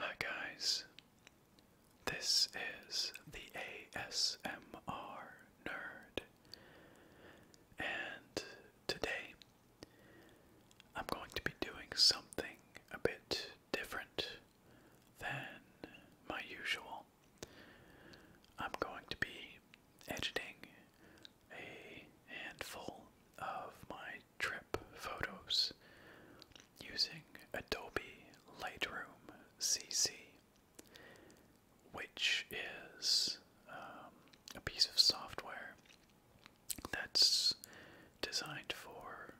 Hi, guys. This is the ASMR Nerd. And today I'm going to be doing something a bit different than my usual. I'm going to be editing a handful of my trip photos using Adobe Lightroom CC, which is um, a piece of software that's designed for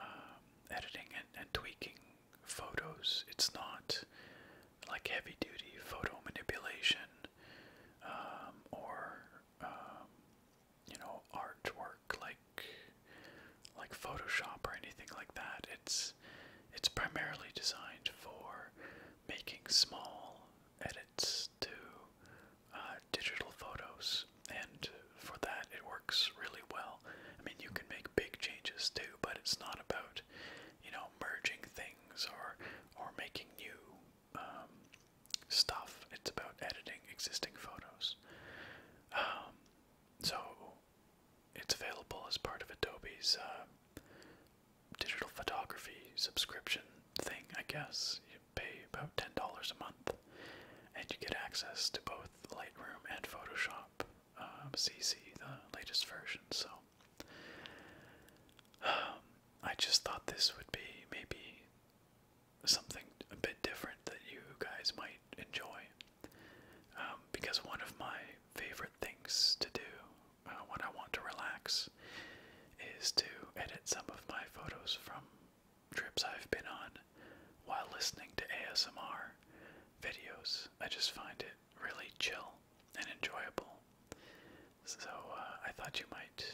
um, editing and, and tweaking photos. It's not like heavy duty photo manipulation um, or um, you know artwork like like Photoshop or anything like that. It's it's primarily designed for making small edits to uh, digital photos, and for that, it works really well. I mean, you can make big changes too, but it's not about you know merging things or or making new um, stuff. It's about editing existing photos. Um, so it's available as part of Adobe's uh, digital photography subscription thing, I guess pay about $10 a month, and you get access to both Lightroom and Photoshop CC, um, the latest version. So um, I just thought this would be maybe something a bit different that you guys might enjoy. Um, because one of my favorite things to do uh, when I want to relax is to edit some of my photos from trips I've been on while listening to ASMR videos. I just find it really chill and enjoyable. So uh, I thought you might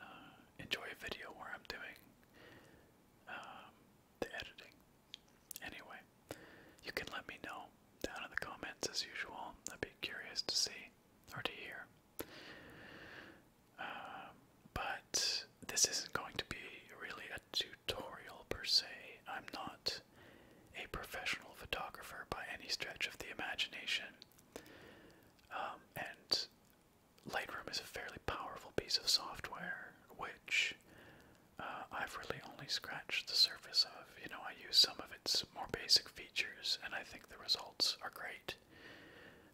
uh, enjoy a video where I'm doing um, the editing. Anyway, you can let me know down in the comments as usual. I'd be curious to see or to hear. Um, but this isn't going to be really a tutorial per se. I'm not a professional photographer by any stretch of the imagination. Um, and Lightroom is a fairly powerful piece of software, which uh, I've really only scratched the surface of. You know, I use some of its more basic features, and I think the results are great.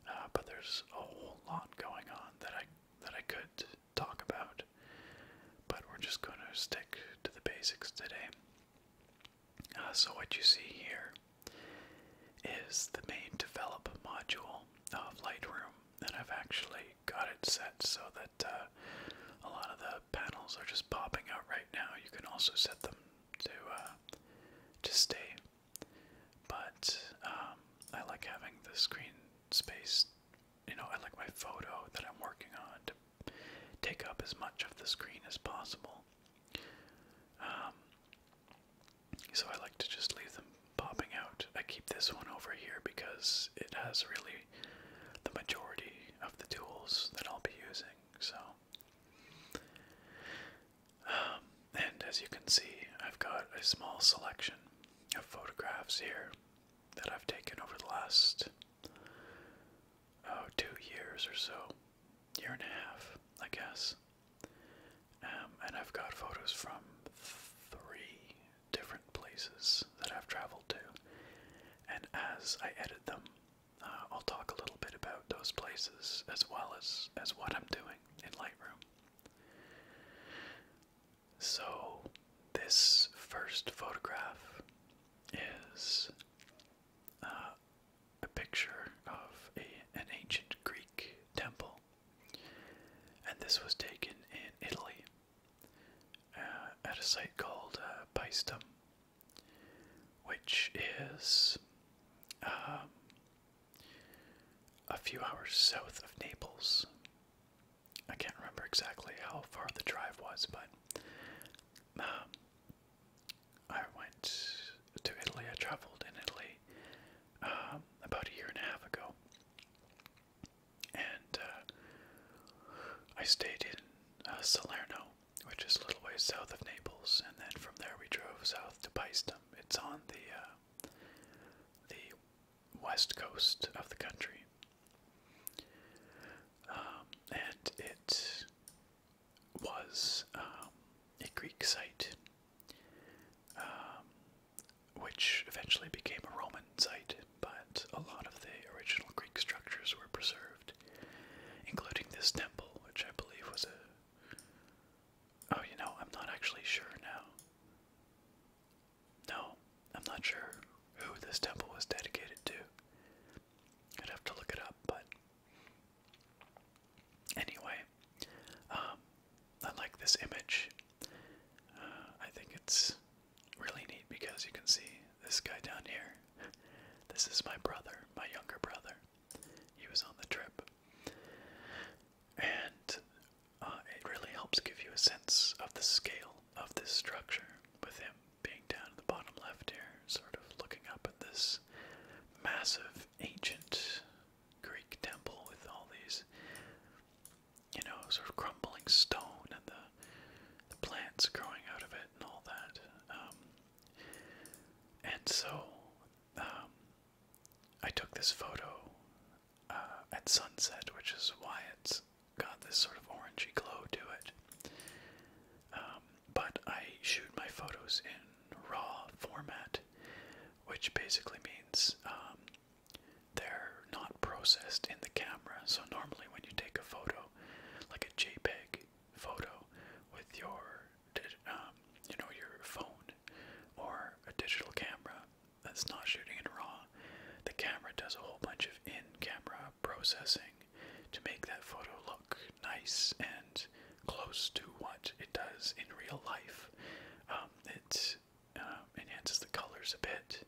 Uh, but there's a whole lot going on that I that I could talk about. But we're just going to stick to the basics today. Uh, so what you see here is the main develop module of Lightroom, and I've actually got it set so that uh, a lot of the panels are just popping out right now. You can also set them to to stay but um, I like having the screen space. You know, I like my photo that I'm working on to take up as much of the screen as possible. Um, so I like to just leave them popping out. I keep this one over here because it has really the majority of the tools that I'll be using. So um, and as you can see, I've got a small selection of photographs here that I've taken over the last oh, two years or so, year and a half, I guess. Um, and I've got photos from three different places that I've traveled to. And as I edit them, uh, I'll talk a little bit about those places as well as as what I'm doing in Lightroom. So, this first photograph is uh, a picture of a, an ancient Greek temple, and this was taken in Italy uh, at a site called uh, Paestum, which is um, a few hours south of Naples. I can't remember exactly how far the drive was, but um, I went to Italy. I traveled in Italy um, about a year and a half ago, and uh, I stayed in uh, Salerno, which is a little ways south of Naples, and then from there we drove south to Paestum. It's on the uh, the west coast of the country. Um, and it was um, a Greek site, um, which eventually became a Roman site, but a lot of the original Greek structures were preserved, including this temple, which I believe was a. Oh, you know, I'm not actually sure now. No, I'm not sure who this temple was dedicated to. I'd have to look it up, but anyway, um, I like this image. Uh, I think it's really neat because you can see this guy down here. This is my brother, my younger brother. He was on the trip. And uh, it really helps give you a sense of the scale of this structure, with him being down in the bottom left here, sort of looking up at this massive ancient Greek temple with all these, you know, sort of crumbling stone and the, plants growing out of it and all that. Um, and so um, I took this photo uh, at sunset, which is why it's got this sort of orangey glow to it. Um, but I shoot my photos in RAW format, which basically means um, they're not processed in the camera. So, normally, when you take a photo, like a JPEG photo with your um, you know your phone or a digital camera that's not shooting in RAW, the camera does a whole bunch of in camera processing to make that photo look nice and close to what it does in real life. Um, it um, enhances the colors a bit,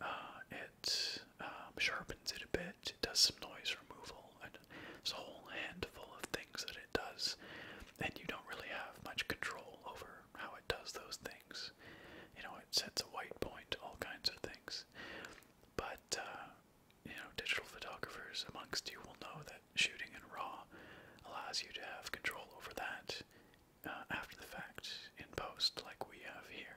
uh, it um, sharpens it a bit, it does some noise removal, and there's a whole handful of things that it does, and you don't really have much control over how it does those things. You know, it sets a white point, all kinds of things. But, uh, you know, digital photographers amongst you will know that shooting in RAW allows you to have control over that uh, after the fact in post, like we have here.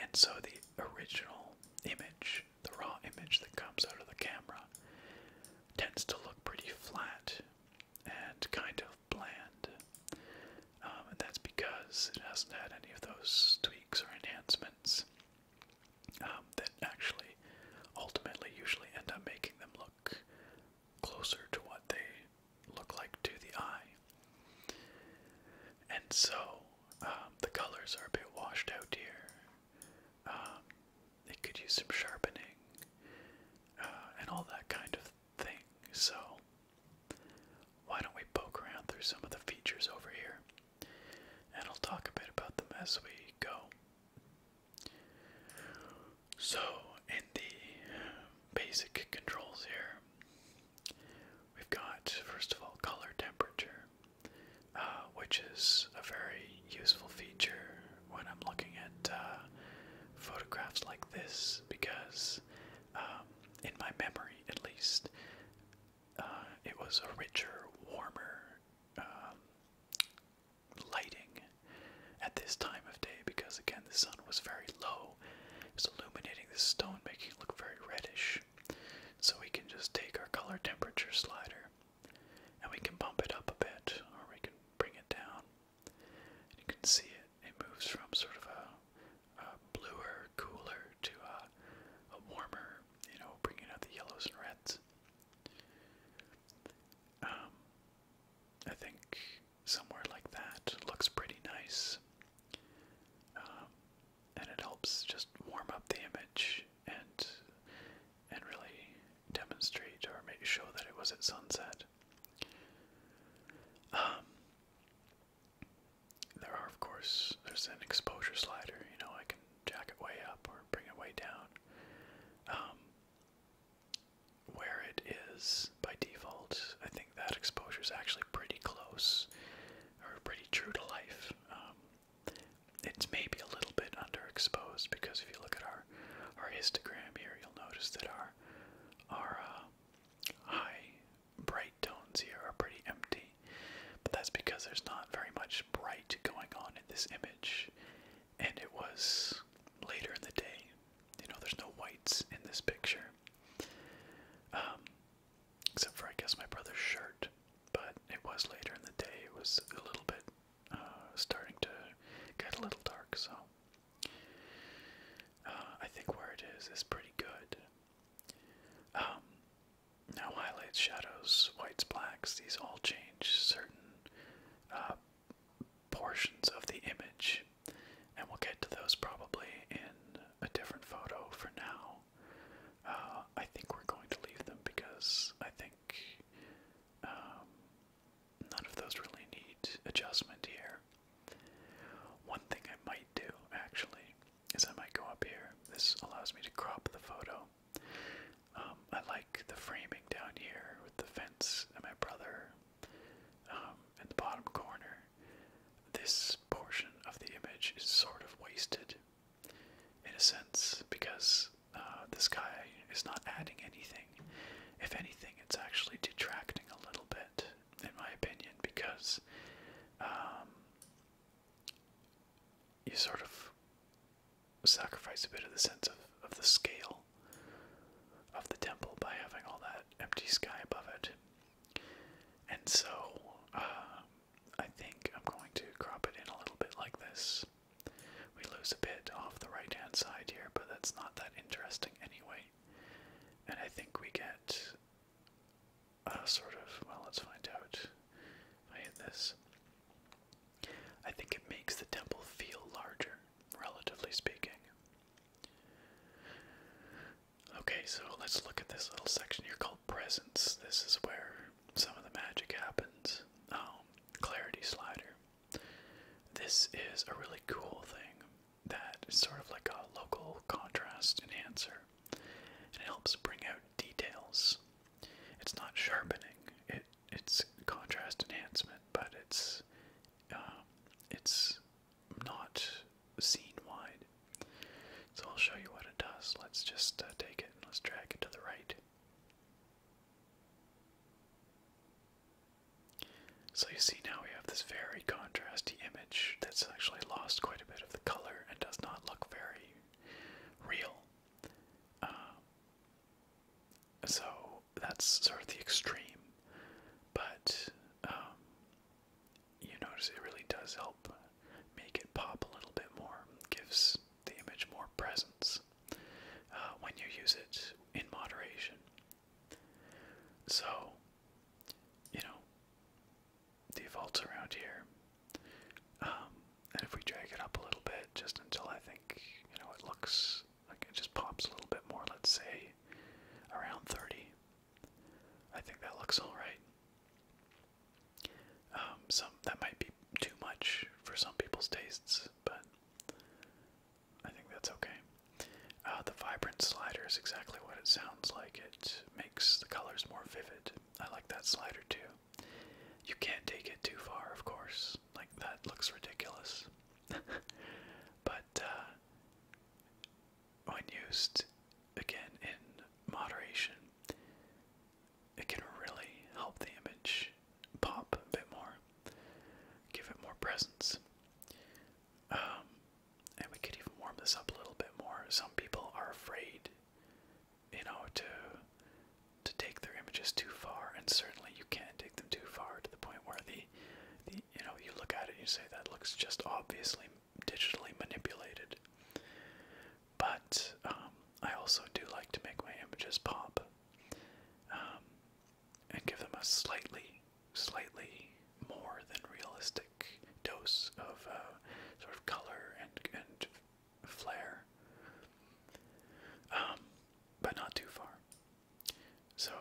And so the original image, the raw image that comes out of the camera, tends to look pretty flat and kind of bland. Um, and that's because it hasn't had any of those tweaks or enhancements um, that actually ultimately usually end up making them look closer to what they look like to the eye. And so um, the colors are a bit washed out here. They could use some sharpening uh, and all that kind of thing. So, why don't we poke around through some of the features over here? And I'll talk a bit about them as we go. So, in the basic controls here, we've got, first of all, color temperature, uh, which is a very useful feature when I'm looking at uh, photographs like this because, um, in my memory at least, uh, it was a richer, warmer um, lighting at this time of day because, again, the sun was very low. It was illuminating the stone, making it look very reddish. So we can just take our color temperature slider and we can bump it up a bit or we can bring it down. You can see it, it moves from sort of a, bluer, cooler to a, warmer, you know, bringing out the yellows and reds. Um, I think somewhere like that looks pretty nice. Um, and it helps just warm up the image and and really demonstrate or make sure that it was at sunset. Um, there are, of course, there's an exposure slider. You know, I can jack it way up or bring it way down. Um, where it is by default, I think that exposure is actually pretty close or pretty true to life. Um, it's maybe a little bit underexposed because if you look at our our histogram here, you'll notice that our our uh, high bright tones here are pretty empty, but that's because there's not very much bright going on in this image, and it was later in the day. You know, there's no whites in this picture, um, except for I guess my brother's shirt. But it was later in the day. It was a little bit uh, starting to get a little dark, so uh, I think where it is is pretty good. Um, now highlights, shadows, whites, blacks, these all change certain uh, portions of the image, and we'll get to those probably in a different photo for now. Uh, I think we're going to leave them because I think um, none of those really need adjustment here. One thing I might do actually is I might go up here. This allows me to crop the photo. Um, I like the framing down here with the fence and my brother um, in the bottom corner. This portion of the image is sort of wasted in a sense because uh, this guy is not adding anything. If anything, it's actually detracting a little in my opinion, because um, you sort of sacrifice a bit of the sense of, the scale of the temple by having all that empty sky above it. And so uh, I think I'm going to crop it in a little bit like this. We lose a bit off the right hand side here, but that's not that interesting anyway. And I think we get a sort of, well, let's find out. I hit this, I think it makes the temple feel larger, relatively speaking. Okay, so let's look at this little section here called Presence. This is where some of the magic happens. Oh, Clarity Slider. This is a really cool thing that is sort of like a local contrast enhancer, and it helps bring out details. It's not sharpening; it it's contrast enhancement, but it's uh, it's not scene wide. So I'll show you what it does. Let's just uh, take it and let's drag it to the right. So you see now we have this very contrasty image that's actually lost quite a bit of the color and does not look very real. Uh, so that's sort of the extreme, but um, you notice it really does help make it pop a little bit more, gives the image more presence uh, when you use it in moderation. So, you know, defaults around here. Um, and if we drag it up a little bit, just until I think, you know, it looks like it just pops a little bit more, let's say around 30. I think that looks alright. Um, some that might be too much for some people's tastes, but I think that's okay. Uh, the vibrant slider is exactly what it sounds like. It makes the colors more vivid. I like that slider too. You can't take it too far, of course. Like, that looks ridiculous. but uh, when used again in moderation, it can really help the image pop a bit more, give it more presence. Um, and we could even warm this up a little bit more. Some people are afraid, you know, to to take their images too far, and certainly you can't take them too far to the point where the, the you know, you look at it and you say that looks just obviously digitally manipulated. But um, I also do like to make my images pop. Um, and give them a slightly, slightly more than realistic dose of uh, sort of color and and flair, um, but not too far. So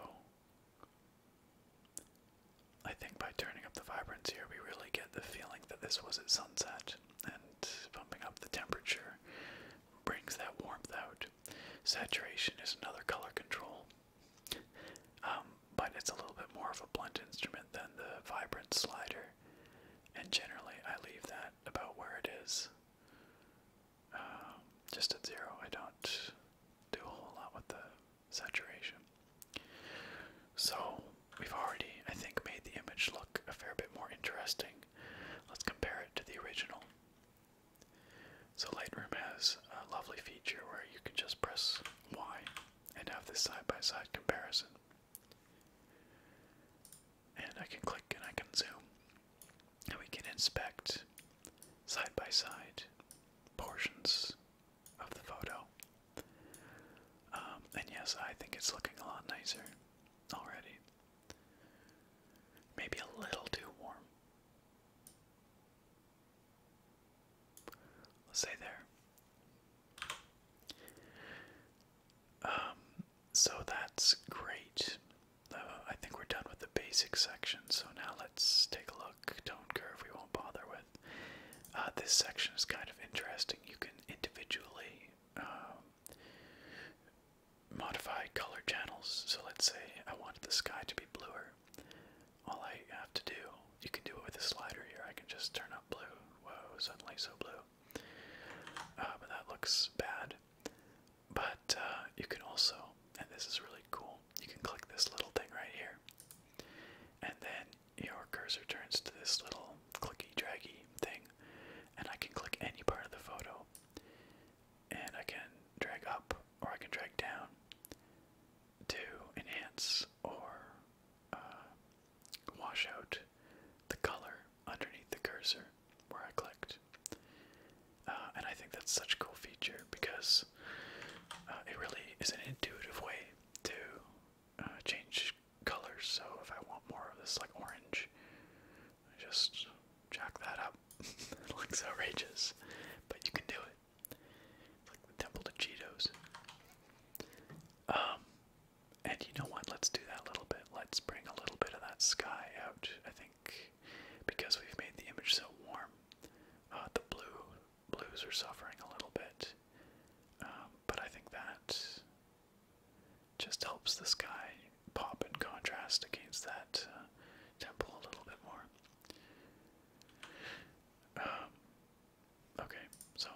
I think by turning up the vibrance here, we really get the feeling that this was at sunset, and bumping up the temperature brings that warmth out. Saturation is another color control um, but it's a little bit more of a blunt instrument than the vibrant slider, and generally I leave that about where it is, um, just at zero. I don't do a whole lot with the saturation. So we've already, I think, made the image look a fair bit more interesting. Let's compare it to the original. So Lightroom has a lovely feature where you can just press Y and have this side-by-side comparison. And I can click and I can zoom. And we can inspect side-by-side portions of the photo. Um, and yes, I think it's looking a lot nicer already. Maybe a little too warm say there. Um, so that's great. Uh, I think we're done with the basic section, so now let's take a look. Tone curve we won't bother with. Uh, this section is kind of interesting. You can individually um, modify color channels. So let's say I wanted the sky to be bluer all I have to do, you can do it with a slider here. I can just turn up blue. Whoa, suddenly so blue. Uh, but that looks bad. But uh, you can also, and this is really cool, you can click this little thing right here. And then your cursor turns to this little clicky draggy thing. And I can click any part of the photo. And I can drag up or I can drag down to enhance or uh, wash out the color underneath the cursor where I clicked. Uh, and I think that's such a cool feature because uh, it really is an intuitive way to change colors. So if I want more of this, like orange, just jack that up. it looks outrageous, but you can do it. Temple to Cheetos. Um, and you know what? Let's do that a little bit. Let's bring a little bit of that sky out. I think because we've made the image so warm, uh, the blue blues are suffering a little bit. Um, but I think that just helps the sky pop in contrast against that uh, temple a little bit more. Um, okay, so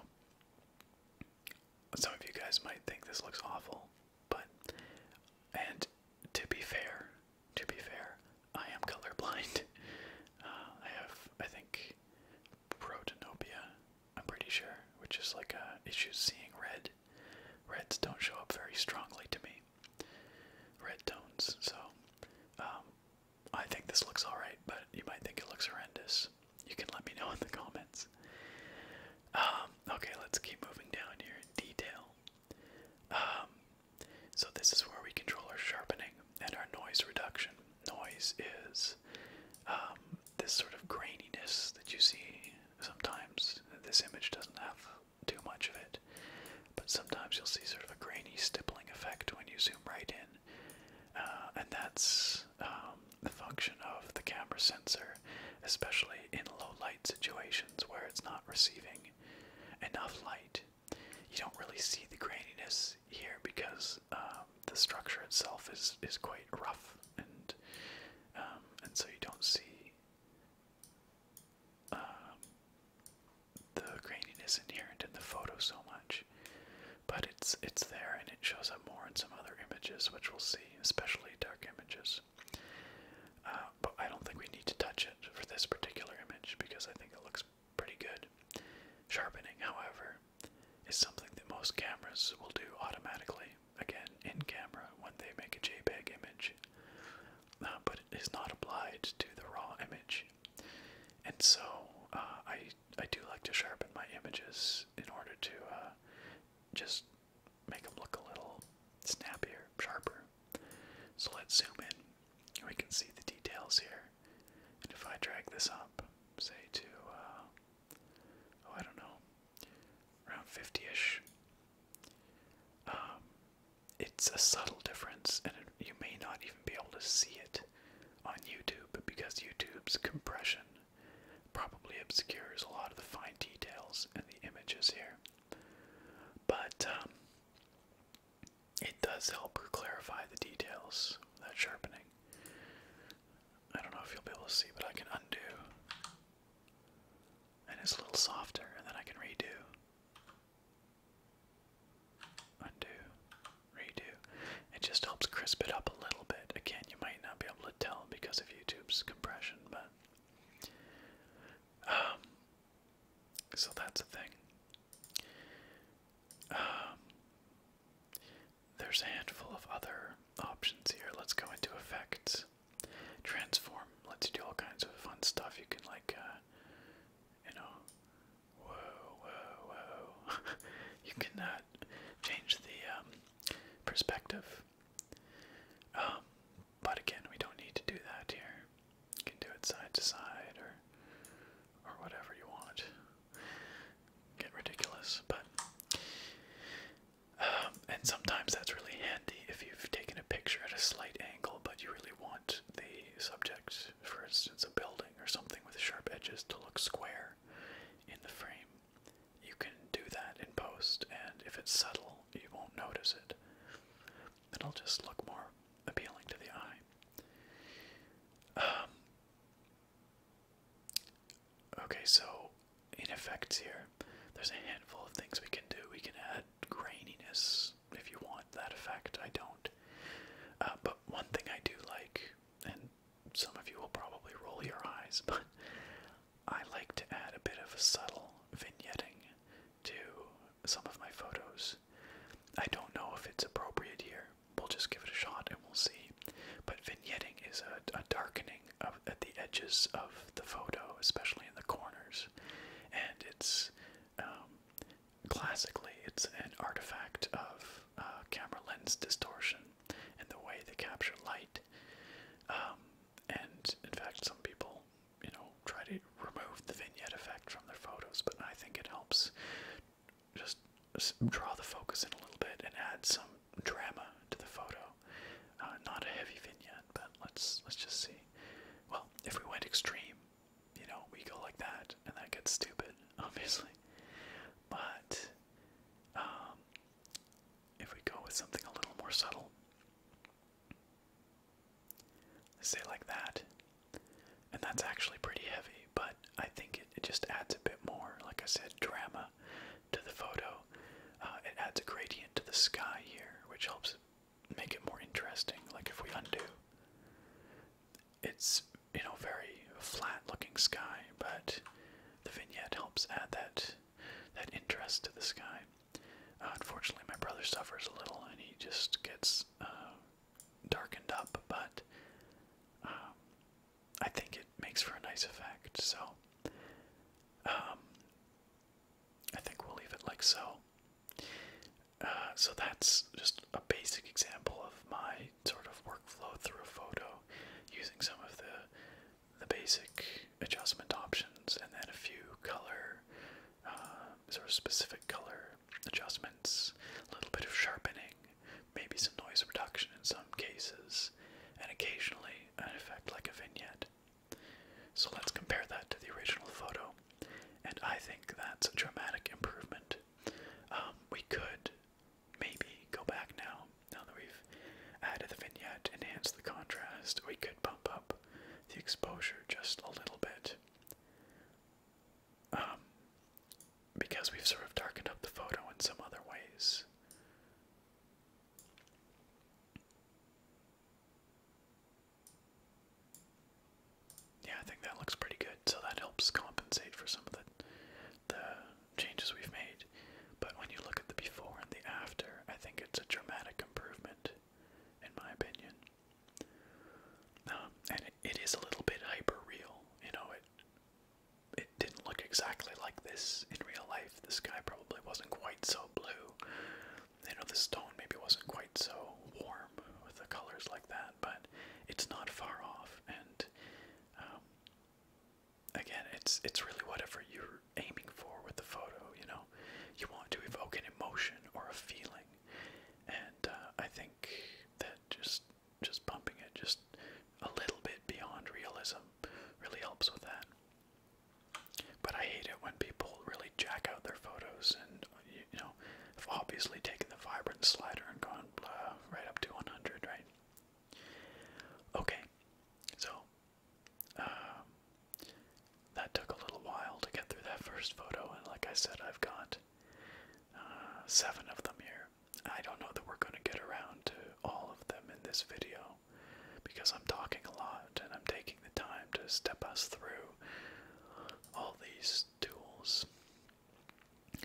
some of you guys might think this looks awful, but and to be fair, to be fair, I am colorblind. Uh, I have, I think, protanopia. I'm pretty sure, which is like issues seeing red. Reds don't show up very strongly to me. Red tones, so um, I think this looks alright, but you might think it looks horrendous. You can let me know in the comments. Um, okay, let's keep moving down here. in Detail. Um, so this is where we control our sharpening and our noise reduction. Noise is um, this sort of graininess that you see sometimes. This image doesn't have too much of it but sometimes you'll see sort of a grainy stippling effect when you zoom right in. Uh, and that's um, the function of the camera sensor, especially in low light situations where it's not receiving enough light. You don't really see the graininess here because um, the structure itself is is quite rough, and um, and so you don't see the graininess inherent in the photo so much, but it's it's there and it shows up more in some other images, which we'll see, especially dark images. Uh, but I don't think we need to touch it for this particular image because I think it looks pretty good. Sharpening, however, is something that most cameras will do automatically, again, in camera when they make a JPEG image, uh, but it is not applied to the raw image. And so uh, I I do like to sharpen my images in order to uh, just make them look a little snappier, sharper. So let's zoom in. We can see the details here. And if I drag this up, say to, uh, oh, I don't know, around 50 ish, um, it's a subtle difference and you may not even be able to see it on YouTube because YouTube's compression probably obscures a lot of the fine details in the images here. But um, it does help clarify the details, that sharpening. I don't know if you'll be able to see, but I can undo. And it's a little softer, and then I can redo. Undo. Redo. It just helps crisp it up a little bit. Again, you might not be able to tell because of YouTube's compression, but. Um, so that's a thing. Um, there's a handful of other options here. Let's go into effects. Transform Let's do all kinds of fun stuff. You can, like, uh, you know, Whoa, whoa, whoa. you cannot change the um, perspective. Um, but again, we don't need to do that here. You can do it side to side or or whatever you want. Get ridiculous, but um, and sometimes that's really handy if you've taken a picture at a slight angle, but you really want the subject, for instance, a building or something with sharp edges to look square in the frame, you can do that in post, and if it's subtle, you won't notice it. It'll just look more appealing to the eye. Um, okay, so in effects here, there's a handful of things we can do. We can add graininess if you want that effect. I don't. Uh, one thing I do like, and some of you will probably roll your eyes, but I like to add a bit of a subtle vignetting to some of my photos. I don't know if it's appropriate here. We'll just give it a shot and we'll see. But vignetting is a, darkening of, at the edges of the photo, especially in the corners, and it's um, Classically, it's an artifact of uh, camera lens distortion and the way they capture light. Um, and in fact, some people, you know, try to remove the vignette effect from their photos, but I think it helps just draw the focus in a little bit and add some drama to the photo. Uh, not a heavy vignette, but let's let's just see. Well, if we went extreme, you know, we go like that, and that gets stupid, obviously. But um, if we go with something a little more subtle, say like that, and that's actually pretty heavy, but I think it, just adds a bit more, like I said, drama to the photo. Uh, it adds a gradient to the sky here, which helps make it more interesting. Like if we undo it's you know very flat looking sky, but the vignette helps add that that interest to the sky. Uh, unfortunately, my brother suffers a little, and he just gets uh, darkened up. But um, I think it makes for a nice effect. So um, I think we'll leave it like so. Uh, so that's just a basic example of my sort of workflow through a photo using some of the the basic adjustment options and then a few color uh, sort of specific color adjustments, a little bit of sharpening, maybe some noise reduction in some cases, and occasionally an effect like a vignette. So let's compare that to the original photo, and I think that's a dramatic improvement um, we could maybe go back now, now that we've added the vignette, enhance the contrast. We could bump up the exposure just a little bit. Um, because we've sort of darkened up the photo in some other ways yeah, I think that looks pretty good. So that helps compensate for some of the the changes we've made. But when you look at the before and the after, I think it's a dramatic improvement, in my opinion. Um, and it is a little bit hyperreal. You know, it it didn't look exactly like this in real life. The sky probably wasn't quite so blue. You know, the stone maybe wasn't quite so warm with the colors like that, but it's not far off, and um, again, it's it's really whatever you're aiming for with the photo. You know, you want to evoke an emotion or a feeling, and uh, I think that just just bumping it just a little bit beyond realism really helps with that. But I hate it when people really jack out their photos and you know obviously taking the vibrant slider and going. Uh, right up to 100, right? Okay, so um, that took a little while to get through that first photo, and like I said, I've got uh, seven of them here. I don't know that we're going to get around to all of them in this video because I'm talking a lot and I'm taking the time to step us through all these tools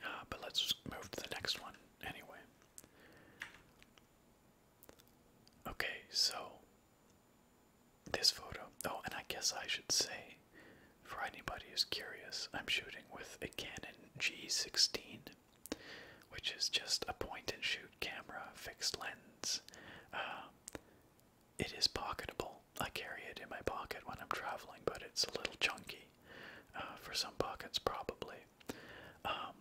uh, but let's move to the next one anyway. Okay, so this photo. Oh, and I guess I should say, for anybody who's curious, I'm shooting with a Canon G16, which is just a point and shoot camera, fixed lens. Um, it is pocketable. I carry it in my pocket when I'm traveling, but it's a little chunky. Uh, for some pockets, probably. Um,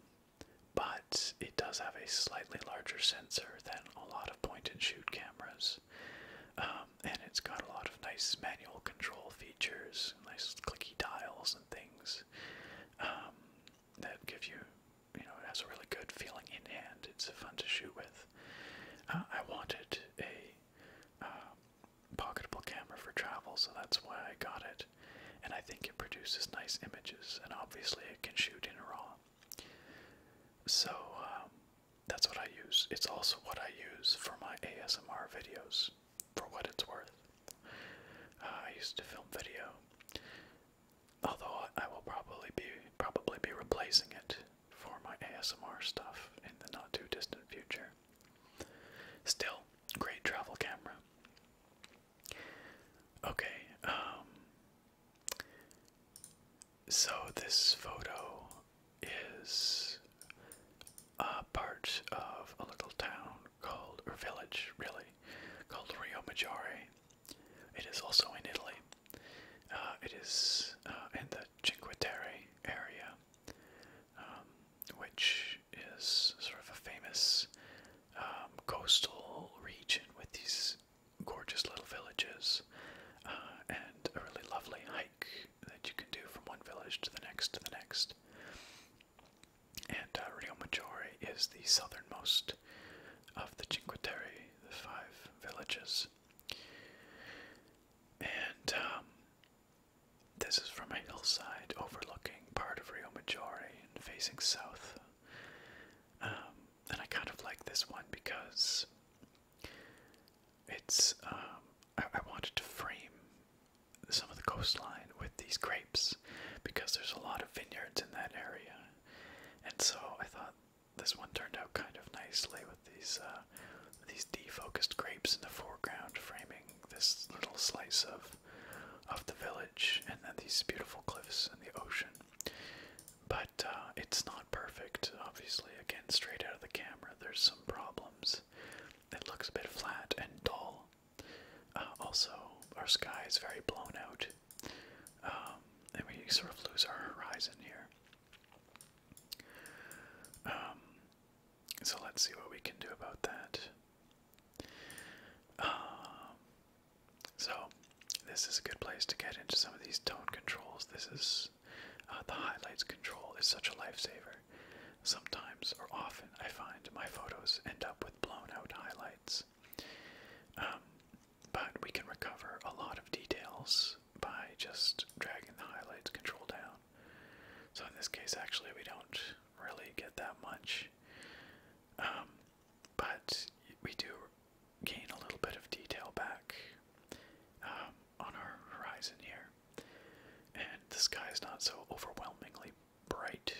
but it does have a slightly larger sensor than a lot of point and shoot cameras. Um, and it's got a lot of nice manual control features, nice clicky dials and things um, that give you, you know, it has a really good feeling in hand. It's fun to shoot with. Uh, I wanted a pocketable camera for travel, so that's why I got it. And I think it produces nice images, and obviously it can shoot in RAW. So um, that's what I use. It's also what I use for my ASMR videos, for what it's worth. Uh, I used to film video, although I will probably be probably be replacing it for my ASMR stuff in the not too distant future. Still, great travel camera. Okay, um, so this photo is a part of a little town called or village really called Rio Maggiore. It is also in Italy. Uh, it is uh, in the Cinque Terre area. Um, which is sort of a famous um, coastal region with these gorgeous little villages uh, and a really lovely hike that you can do from one village to the next to the next. And uh, Rio Maggiore is the southernmost of the Cinque Terre, the five villages. And um, this is from a hillside overlooking part of Rio Maggiore and facing south. Um, and I kind of like this one because it's, um, I, wanted to frame some of the coastline with these grapes because there's a lot of vineyards in that area. And so I thought this one turned out kind of nicely with these, uh, these defocused grapes in the foreground framing this little slice of of the village and then these beautiful cliffs and the ocean. But uh, it's not perfect, obviously. Again, straight out of the camera, there's some problems. It looks a bit flat and dull. Uh, also, our sky is very blown out, um, and we sort of lose our horizon here. Um, so let's see what we can do about that. Um, so, this is a good place to get into some of these tone controls. This is uh, the highlights control is such a lifesaver. Sometimes, or often, I find my photos end up with blown out highlights. Um, but we can recover a lot of details by just dragging the highlights control down. So in this case, actually, we don't really get that much. Um, but we do gain a little bit of detail back um, on our horizon here. And the sky is not so overwhelmingly bright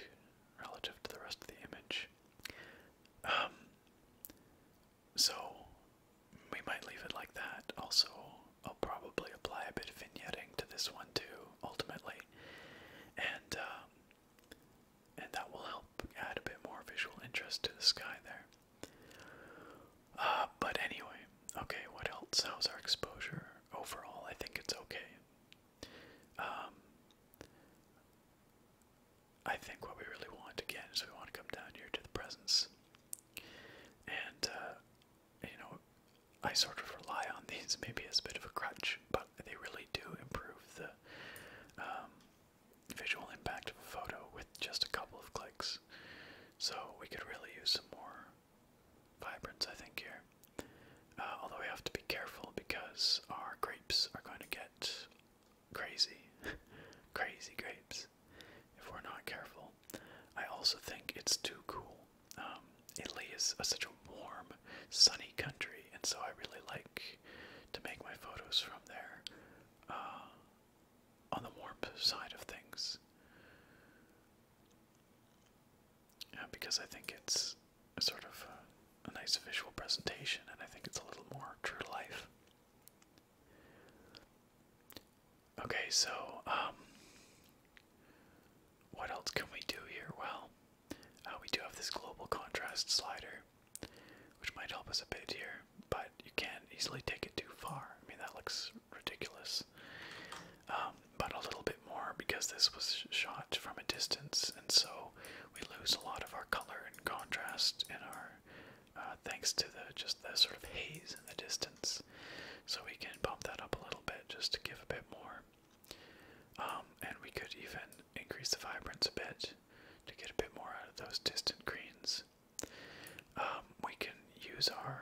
relative to the rest of the image. Um, so we might leave it like that. Also, I'll probably apply a bit of vignetting to this one too, ultimately, and um, and that will help add a bit more visual interest to the sky there. Uh, but anyway, okay, what else? How's our exposure overall? I think it's okay. Um, I think what we really want again is we want to come down here to the presence and uh, you know, I sort of rely on these maybe as a bit of a crutch, but they really do improve the um, visual impact of a photo with just a couple of clicks. So we could really use some more vibrance, I think, here. Uh, although we have to be careful because our grapes are going to get crazy. crazy grapes if we're not careful. I also think it's too cool um, Italy is such a warm, sunny country, and so I really like to make my photos from there uh, on the warm side of things. Uh, because I think it's a sort of uh, a, nice visual presentation, and I think it's a little more true to life. Okay, so um, what else can we do here? Well, uh, we do have this global contrast slider, which might help us a bit here, but you can't easily take it too far. I mean, that looks ridiculous. Um, but a little bit more because this was shot from a distance, and so we lose a lot of our color and contrast in our uh, thanks to the just the sort of haze in the distance. So we can bump that up a little bit just to give a bit more um, and we could even increase the vibrance a bit to get a bit more out of those distant greens. Um, we can use our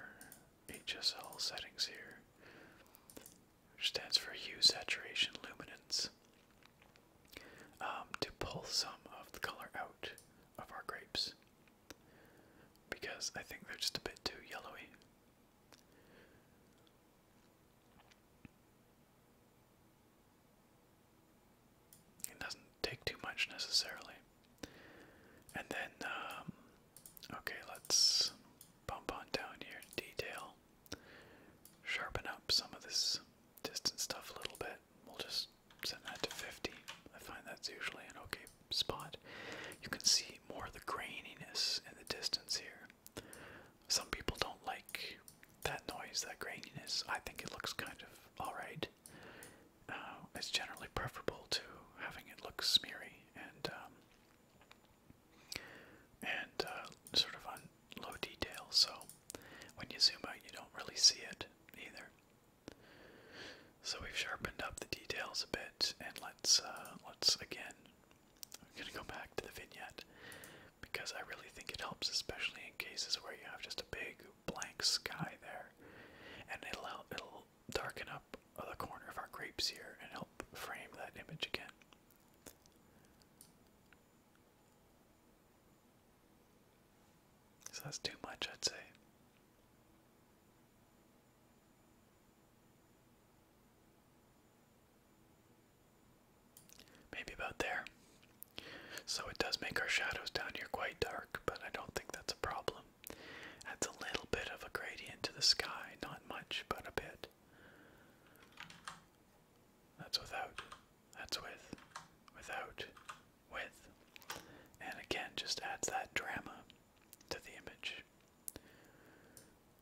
HSL settings here, which stands for hue, saturation, luminance, um, to pull some of the color out of our grapes because I think they're just a bit too yellowy. It doesn't take too much necessarily. And then, um, okay, let's bump on down here to detail. Sharpen up some of this distance stuff a little bit. We'll just send that to 50. I find that's usually an okay spot. You can see more of the graininess in the distance here. Some people don't like that noise, that graininess. I think it looks kind of alright. Uh, it's generally preferable to having it look smeary and um, and uh, sort of on low detail. So when you zoom out, you don't really see it either. So we've sharpened up the details a bit, and let's uh, let's again I'm gonna go back to the vignette because I really think it helps, especially in cases where you have just a big blank sky there, and it'll it'll darken up the corner of our grapes here and help frame that image again. So that's too much, I'd say. Maybe about there. So it does make our shadows down here quite dark, but I don't think that's a problem. Adds a little bit of a gradient to the sky, not much, but a bit. That's without. That's with. Without. With. And again, just adds that drama to the image.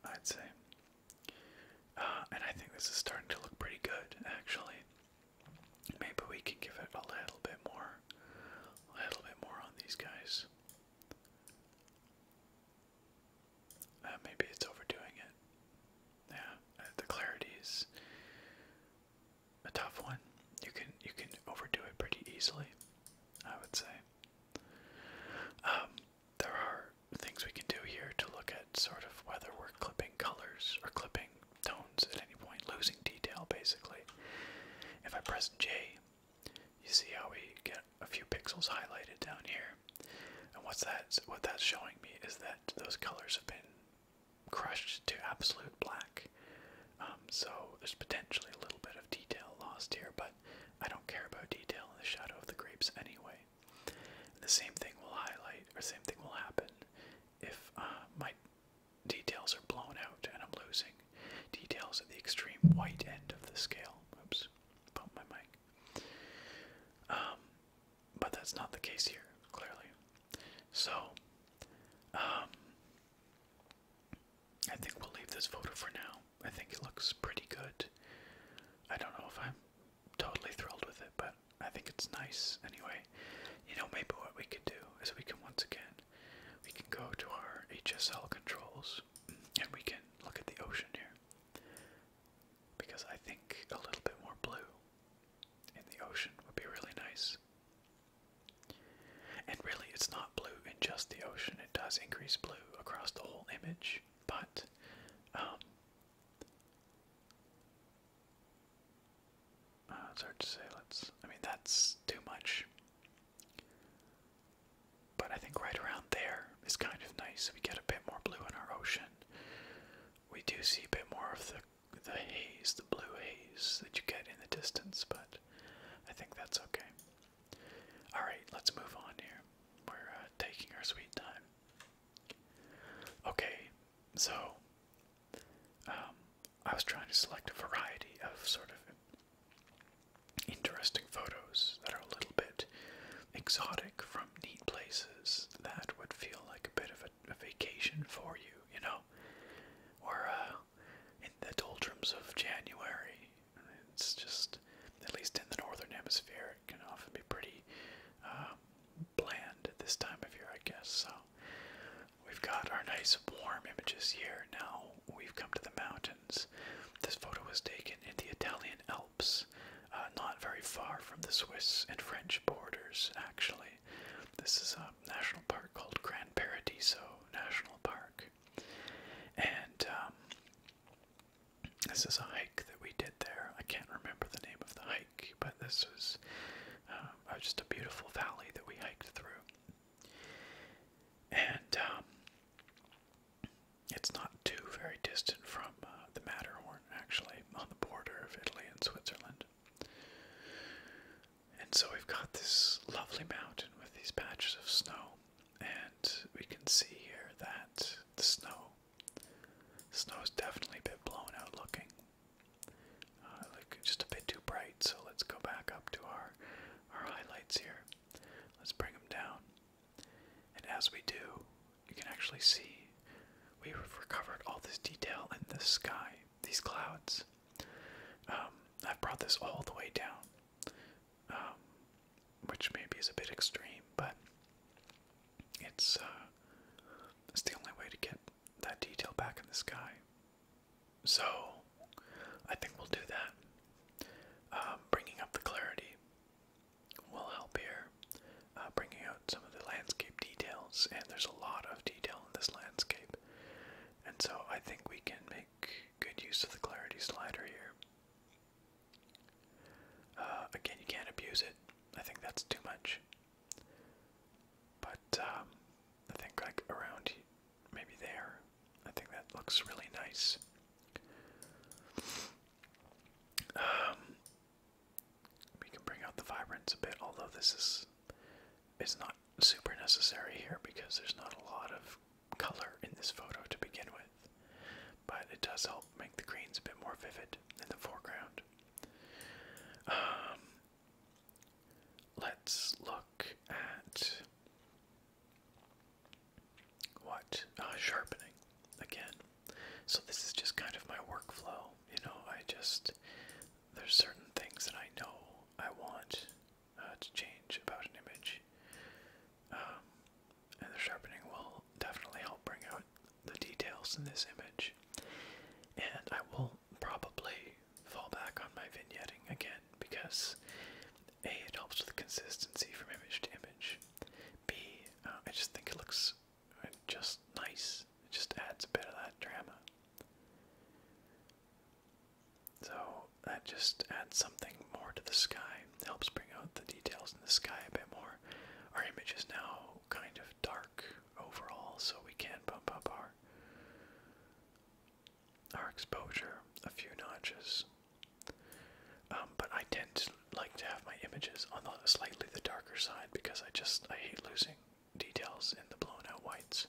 I'd say. Uh, and I think this is starting to look pretty good, actually. Maybe we can give it a little bit more, a little bit more on these guys. Uh, maybe it's overdoing it. Yeah, uh, the clarity is a tough one. You can you can overdo it pretty easily, I would say. Um, there are things we can do here to look at sort of whether we're clipping colors or clipping tones at any point, losing detail basically. If I press J, you see how we get a few pixels highlighted down here. And what's that? What that's showing me is that those colors have been crushed to absolute black. Um, so there's potentially a little bit of detail lost here, but I don't care about detail in the shadow of the grapes anyway. The same thing will highlight, or same thing will happen if uh, my details are blown out and I'm losing details at the extreme white end of the scale. Oops, bumped my mic. Um, but that's not the case here, clearly. So, um, I think we'll leave this photo for now. I think it looks pretty good. I don't know if I'm totally thrilled with it, but I think it's nice anyway. You know, maybe what we could do is we can once again we can go to our HSL controls and we can look at the ocean here. Because I think a little bit more blue in the ocean would be really nice. And really, it's not blue in just the ocean, it does increase blue across the whole image but um, uh, it's hard to say. Let's. I mean, that's too much. But I think right around there is kind of nice. We get a bit more blue in our ocean. We do see a bit more of the the haze, the blue haze that you get in the distance, but I think that's okay. Alright, let's move on here. We're uh, taking our sweet time. Okay, so um, I was trying to select a variety of sort of interesting photos that are a little bit exotic from neat places that would feel like a bit of a, vacation for you, you know? Or uh, in the doldrums of January, it's just at least in the northern hemisphere it can often be pretty um, bland at this time of year i guess so we've got our nice warm images here now we've come to the mountains this photo was taken in the italian alps uh, not very far from the swiss and french borders actually this is a national park called Grand paradiso national park and um, this is a hike that we did there. I can't remember the name of the hike, but this was um, uh, just a beautiful valley that we hiked through. And um, it's not too very distant from uh, the Matterhorn, actually, on the border of Italy and Switzerland. And so we've got this lovely mountain with these patches of snow and we can see here that the snow, snow is definitely a bit blown out looking, uh, like just a bit too bright. So let's go back up to our our highlights here. Let's bring them down, and as we do, you can actually see we've recovered all this detail in the sky, these clouds. Um, I've brought this all the way down. Um, which maybe is a bit extreme, but it's uh, it's the only way to get that detail back in the sky. So I think we'll do that. Um, bringing up the clarity will help here, uh, bringing out some of the landscape details, and there's a lot of detail in this landscape. And so I think we can make good use of the clarity slider here. Uh, again, you can't abuse it. I think that's too much. But um, I think like around maybe there, I think that looks really nice. Um, we can bring out the vibrance a bit, although this is is not super necessary here because there's not a lot of color in this photo to begin with but it does help make the greens a bit more vivid in the foreground. Um, let's look at what uh, sharpening again. So this is just kind of my workflow. You know, I just there's certain things that I know I want uh, to change about an image. Um, and the sharpening will definitely help bring out the details in this image. And I will probably fall back on my vignetting again because A, it helps with consistency from image to image. b, uh, I just think it looks just nice. It just adds a bit of that drama. So that just adds something more to the sky helps bring out the details in the sky a bit more. Our image is now kind of dark overall, so we can bump up our our exposure a few notches. Um, but I tend to like to have my images on the slightly the darker side because I just I hate losing details in the blown out whites.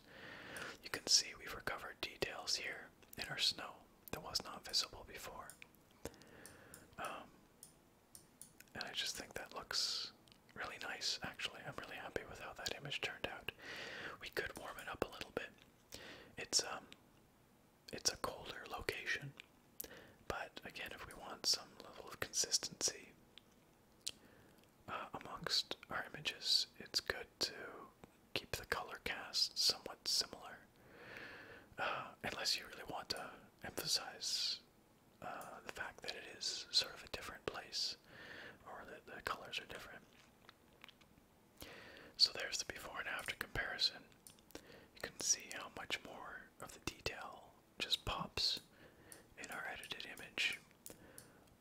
You can see we've recovered details here in our snow that was not visible before. Um, and I just think that looks really nice, actually. I'm really happy with how that image turned out. We could warm it up a little bit. It's um it's a colder location, but again, if we want some level of consistency uh, amongst our images, it's good to keep the color cast somewhat similar, uh, unless you really want a emphasize uh, the fact that it is sort of a different place, or that the colors are different. So there's the before and after comparison. You can see how much more of the detail just pops in our edited image.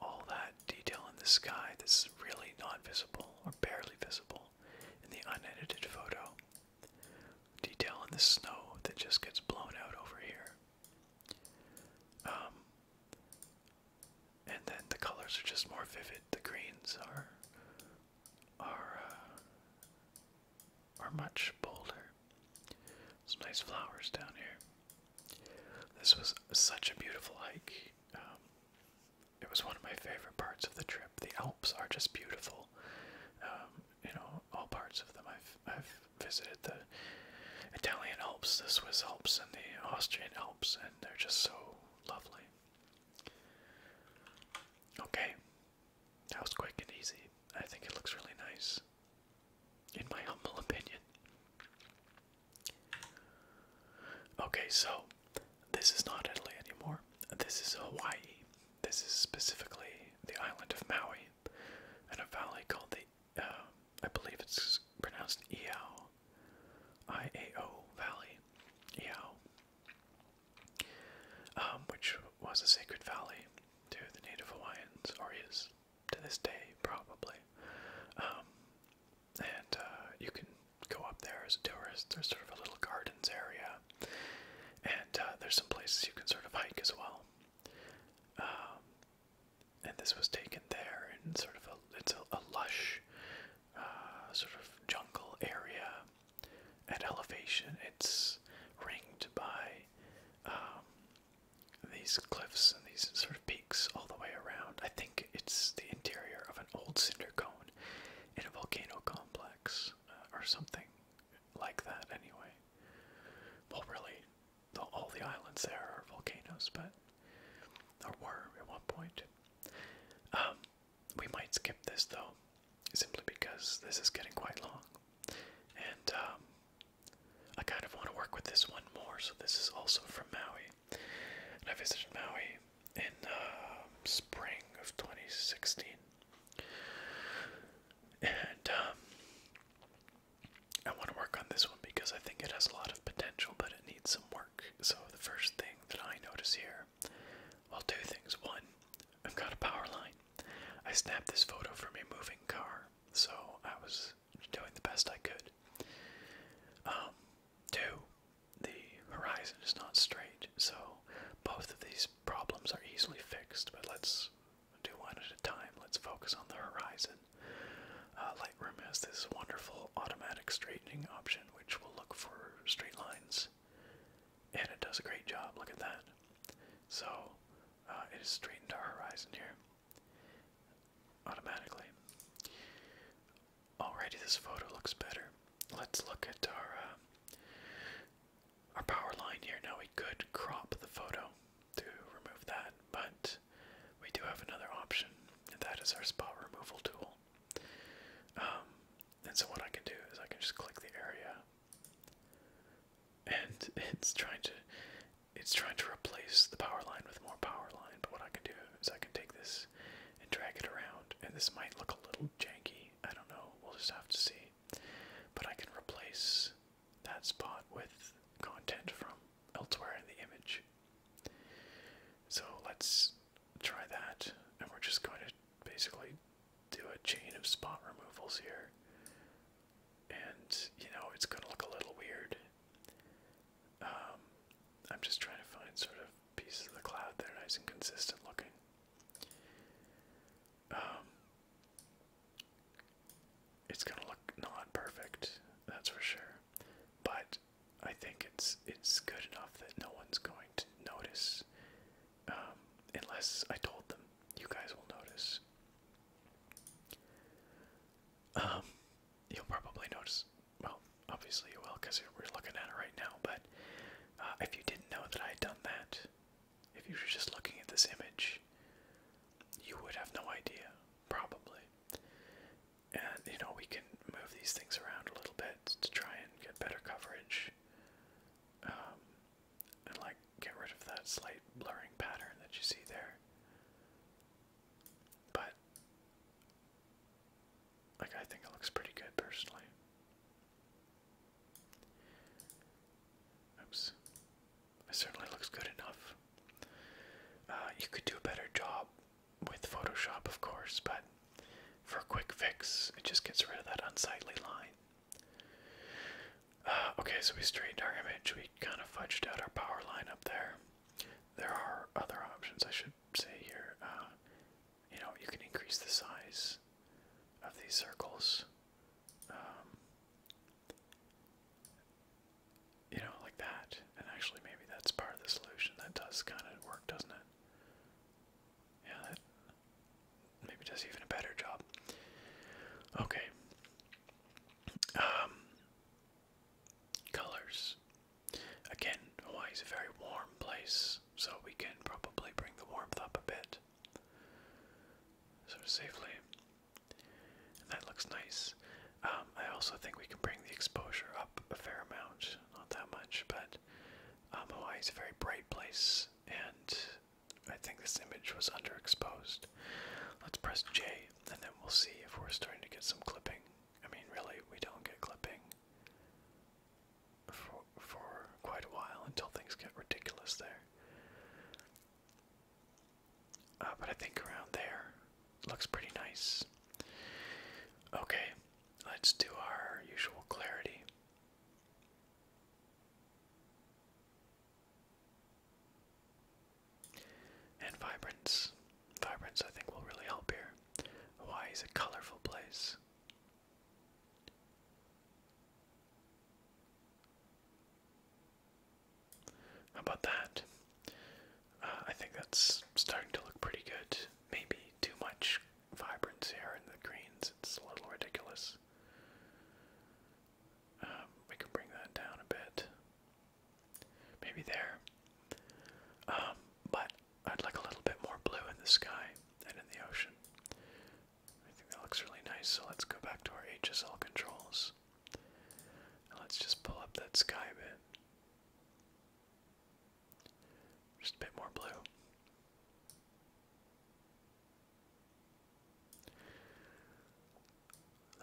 All that detail in the sky that's really not visible or barely visible in the unedited photo detail in the snow that just gets blown out over here. Um, and then the colors are just more vivid. The greens are are uh, are much bolder. Some nice flowers down here. This was such a beautiful hike. Um, it was one of my favorite parts of the trip. The Alps are just beautiful. Um, you know, all parts of them. I've I've visited the Italian Alps, the Swiss Alps, and the Austrian Alps, and they're just so lovely. Okay, that was quick and easy. I think it looks really nice, in my humble opinion. Okay, so this is not Italy anymore. This is Hawaii. This is specifically the island of Maui and a valley called the, uh, I believe it's pronounced Iao, I A O Valley, Iao, um, which was a sacred valley to the native Hawaiians, or is to this day probably. Um, and uh, you can go up there as a tourist. There's sort of a little gardens area and uh, there's some places you can sort of hike as well. Um, and this was taken there in sort of a it's a, lush uh, sort of jungle area at elevation. It's ringed by um, these cliffs and these sort of peaks all the way around. I think it's the interior of an old cinder cone in a volcano complex. Uh, or something like that, anyway. Well, really, all the islands there are volcanoes, but or were at one point. Um, we might skip this though, simply because this is getting quite long, and um, I kind of want to work with this one more. So this is also from Maui, and I visited Maui in uh, spring of 2016. And um, I want to work on this one because I think it has a lot of potential, but it needs some work. So the first thing that I notice here, well, two things. One, I've got a power line. I snapped this photo from a moving car, so I was doing the best I could. Um, two, the horizon is not straight, so both of these problems are easily fixed, but let's do one at a time. Let's focus on the horizon. Uh, Lightroom has this wonderful automatic straightening option, which will look for straight lines, and it does a great job. Look at that. So uh, it has straightened our horizon here automatically. Alrighty, this photo looks better. Let's look at our uh, our power line here. Now we could crop the photo to remove that, but we do have another option, and that is our spot removal tool. Um, and so what I can do is I can just click the area, and it's trying to it's trying to replace the power line with more power line. But what I can do is I can take this and drag it around, and this might look a little janky. I don't know. We'll just have to see but I can replace that spot with content from elsewhere in the image. So let's try that, and we're just going to basically do a chain of spot removals here. And you know, it's going to look a little weird. Um, I'm just trying to find sort of pieces of the cloud that are nice and consistent looking. Um, it's gonna look not perfect, that's for sure. But I think it's it's good enough that no one's going to notice, um, unless I told them. You guys will notice. Um, you'll probably notice. Well, obviously you will, because we're looking at it right now. But uh, if you didn't know that I had done that, if you were just looking at this image, you would have no idea, probably. And you know, we can move these things around a little bit to try and get better coverage. Um, and like get rid of that slight blurring pattern that you see there. But like I think it looks pretty good personally. Oops. It certainly looks good enough. Uh, you could do a better job with Photoshop, of course, but for a quick fix, it just gets rid of that unsightly line. Uh, okay, so we straightened our image. We kind of fudged out our power line up there. There are other options, I should say here. Uh, you know, you can increase the size of these circles. Um, you know, like that. And actually, maybe that's part of the solution. That does kind of work, doesn't it? Yeah, maybe does even a better job. Okay. Um, colors. Again, Hawaii's a very warm place, so we can probably bring the warmth up a bit sort of safely. that looks nice. Um, I also think we can bring the exposure up a fair amount, not that much, but um, is a very bright place, and I think this image was underexposed. Let's press J, and then we'll see if we're starting to get some clipping. I mean, really, we don't get clipping for, for quite a while until things get ridiculous there. Uh, but I think around there looks pretty nice. Okay, let's do our usual clarity. And vibrance. Vibrance, I think, will really help here. Hawaii a colorful place. How about that? Uh, I think that's starting to look pretty good. Maybe too much vibrance here in the greens. It's a little ridiculous. Um, we can bring that down a bit. Maybe there. Um, but I'd like a little bit more blue in the sky and in the ocean. I think that looks really nice, so let's go back to our HSL controls. let's just pull up that sky bit. Just a bit more blue.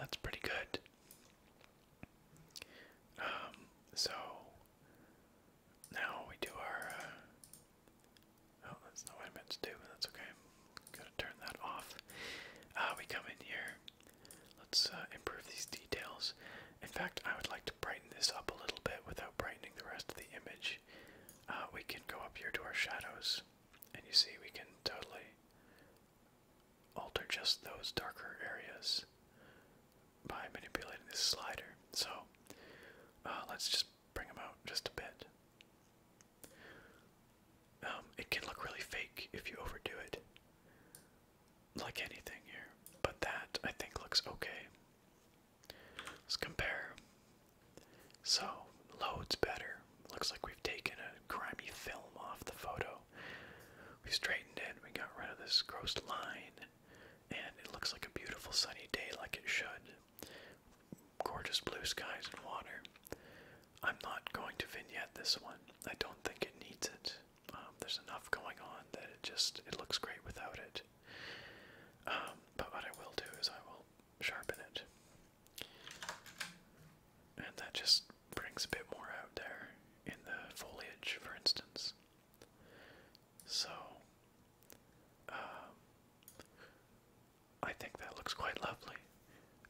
That's pretty good. Um, so now we do our uh, Oh, that's not what I meant to do, but that's okay. going to turn that off. Ah, we come in here. Let's uh, improve these details. In fact, I would like to brighten this up a little bit without brightening the rest of the image. Ah, we can go up here to our shadows, and you see we can totally alter just those darker areas by manipulating this slider. So uh, let's just bring them out just a bit. Um, it can look really fake if you overdo it, like anything here. But that I think looks okay. Let's compare. So, loads better. Looks like we've taken a grimy film off the photo. We straightened it, we got rid of this gross line, and it looks like a beautiful sunny day like it should. Gorgeous blue skies and water. I'm not going to vignette this one. I don't think it needs it. Um, there's enough going on that it just it looks great without it. Um, but what I will do is I will sharpen it, and that just brings a bit more out there in the foliage, for instance. So, um, I think that looks quite lovely,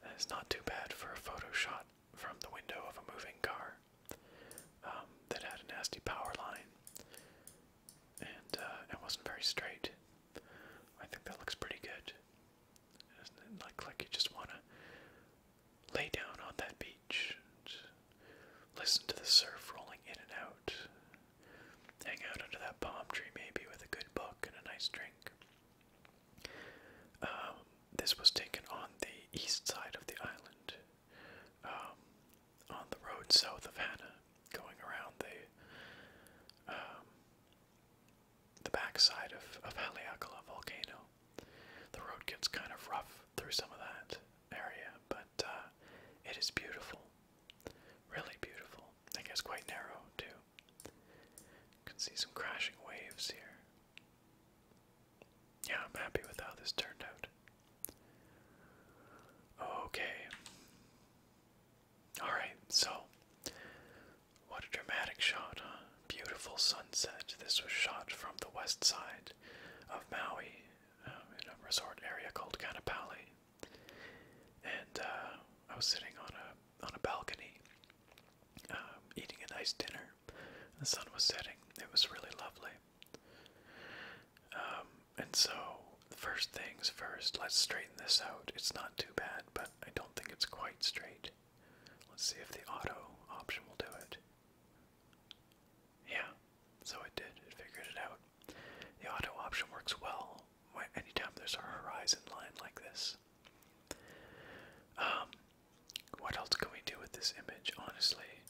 and it's not too bad for a photo shot from the window of a moving car um, that had a nasty power line and uh, it wasn't very straight. I think that looks pretty good. Isn't it? Like, like you just want to lay down on that beach, listen to the surf rolling in and out, hang out under that palm tree maybe with a good book and a nice drink. Um, this was taken on the east side of the island, um, on the road south of Hana, going around the um, the backside of of Haleakala volcano. The road gets kind of rough through some of that area, but uh, it is beautiful, really beautiful. I guess quite narrow too. You can see some crashing waves here. Yeah, I'm happy with how this turned out. Okay. Alright, so. What a dramatic shot, huh? Beautiful sunset. This was shot from the west side of Maui um, in a resort area called Kanapali. And uh, I was sitting on a on a balcony, um, eating a nice dinner. The sun was setting. It was really lovely. Um, and so, first things first, let's straighten this out. It's not too bad, but I don't think it's quite straight. Let's see if the auto option will do it. Yeah, so it did. It figured it out. The auto option works well anytime there's a horizon line like this. Um, what else can we do with this image? Honestly,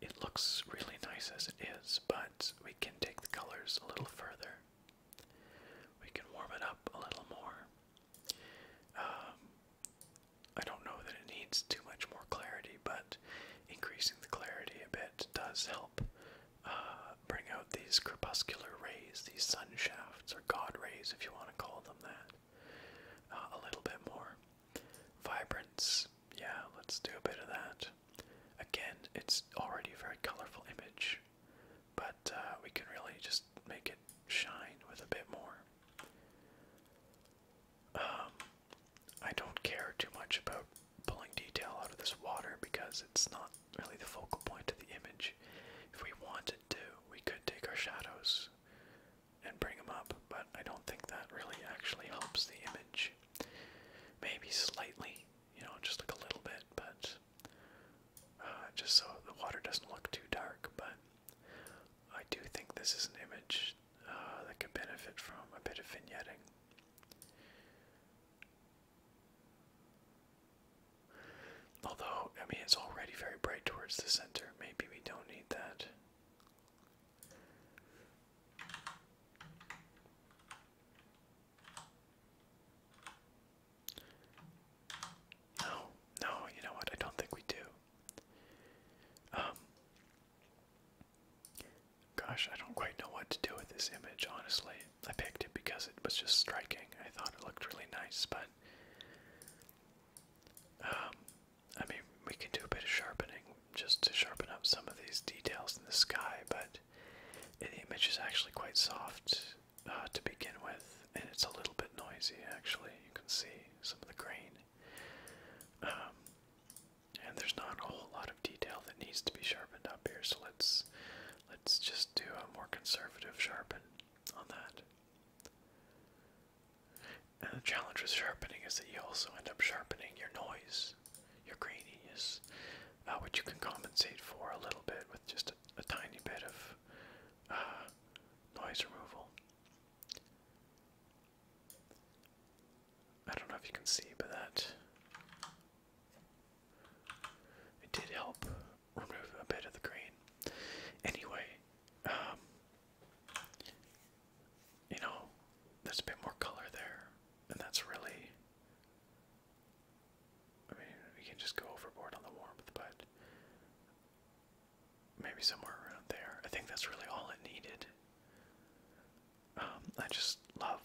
it looks really nice as it is, but we can take the colors a little further. We can warm it up a little more. Um, I don't know that it needs too much more clarity, but increasing the clarity a bit does help uh, bring out these crepuscular rays, these sun shafts, or god rays, if you want to call them that, uh, a little bit more. Vibrance, yeah, let's do a bit of that. Again, it's already a very colorful image, but uh, we can really just make it shine with a bit more. Um, I don't care too much about pulling detail out of this water because it's not really the focal point of the image. If we wanted to, we could take our shadows and bring them up, but I don't think that really actually helps the image. Maybe slightly, you know, just like a little bit, but uh, just so the water doesn't look too dark. But I do think this is an image uh, that could benefit from a bit of vignetting. Although, I mean, it's already very bright towards the center. Maybe we don't need that. No, no, you know what? I don't think we do. Um, gosh, I don't quite know what to do with this image, honestly. I picked it because it was just striking. I thought it looked really nice, but um, I mean, we can do a bit of sharpening just to sharpen up some of these details in the sky, but the image is actually quite soft uh, to begin with, and it's a little bit noisy actually. You can see some of the grain. Um, and there's not a whole lot of detail that needs to be sharpened up here, so let's let's just do a more conservative sharpen on that. And the challenge with sharpening is that you also end up sharpening your noise, your graininess, uh, which you can compensate for a little bit with just a, tiny bit of uh, noise removal. I don't know if you can see, but that it did help remove a bit of the green. Anyway, um, you know, there's a bit more color there, and that's really. I mean, we can just go overboard on the warmth, but maybe somewhere around there. I think that's really all it needed. Um, I just love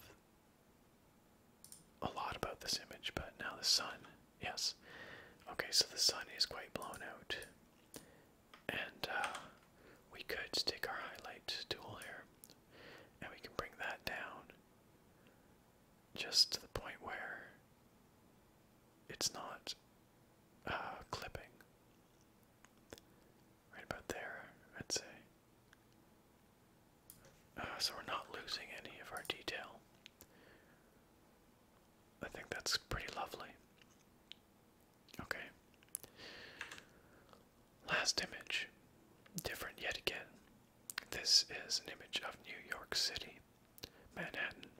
a lot about this image, but now the sun Yes. Okay, so the sun is quite blown out. And uh, we could stick our highlight tool here. And we can bring that down just to the point where it's not uh, clipping. Right about there, I'd say. Uh, so we're not losing any of our detail. I think that's pretty lovely. Okay. Last image. Different yet again. This is an image of New York City, Manhattan,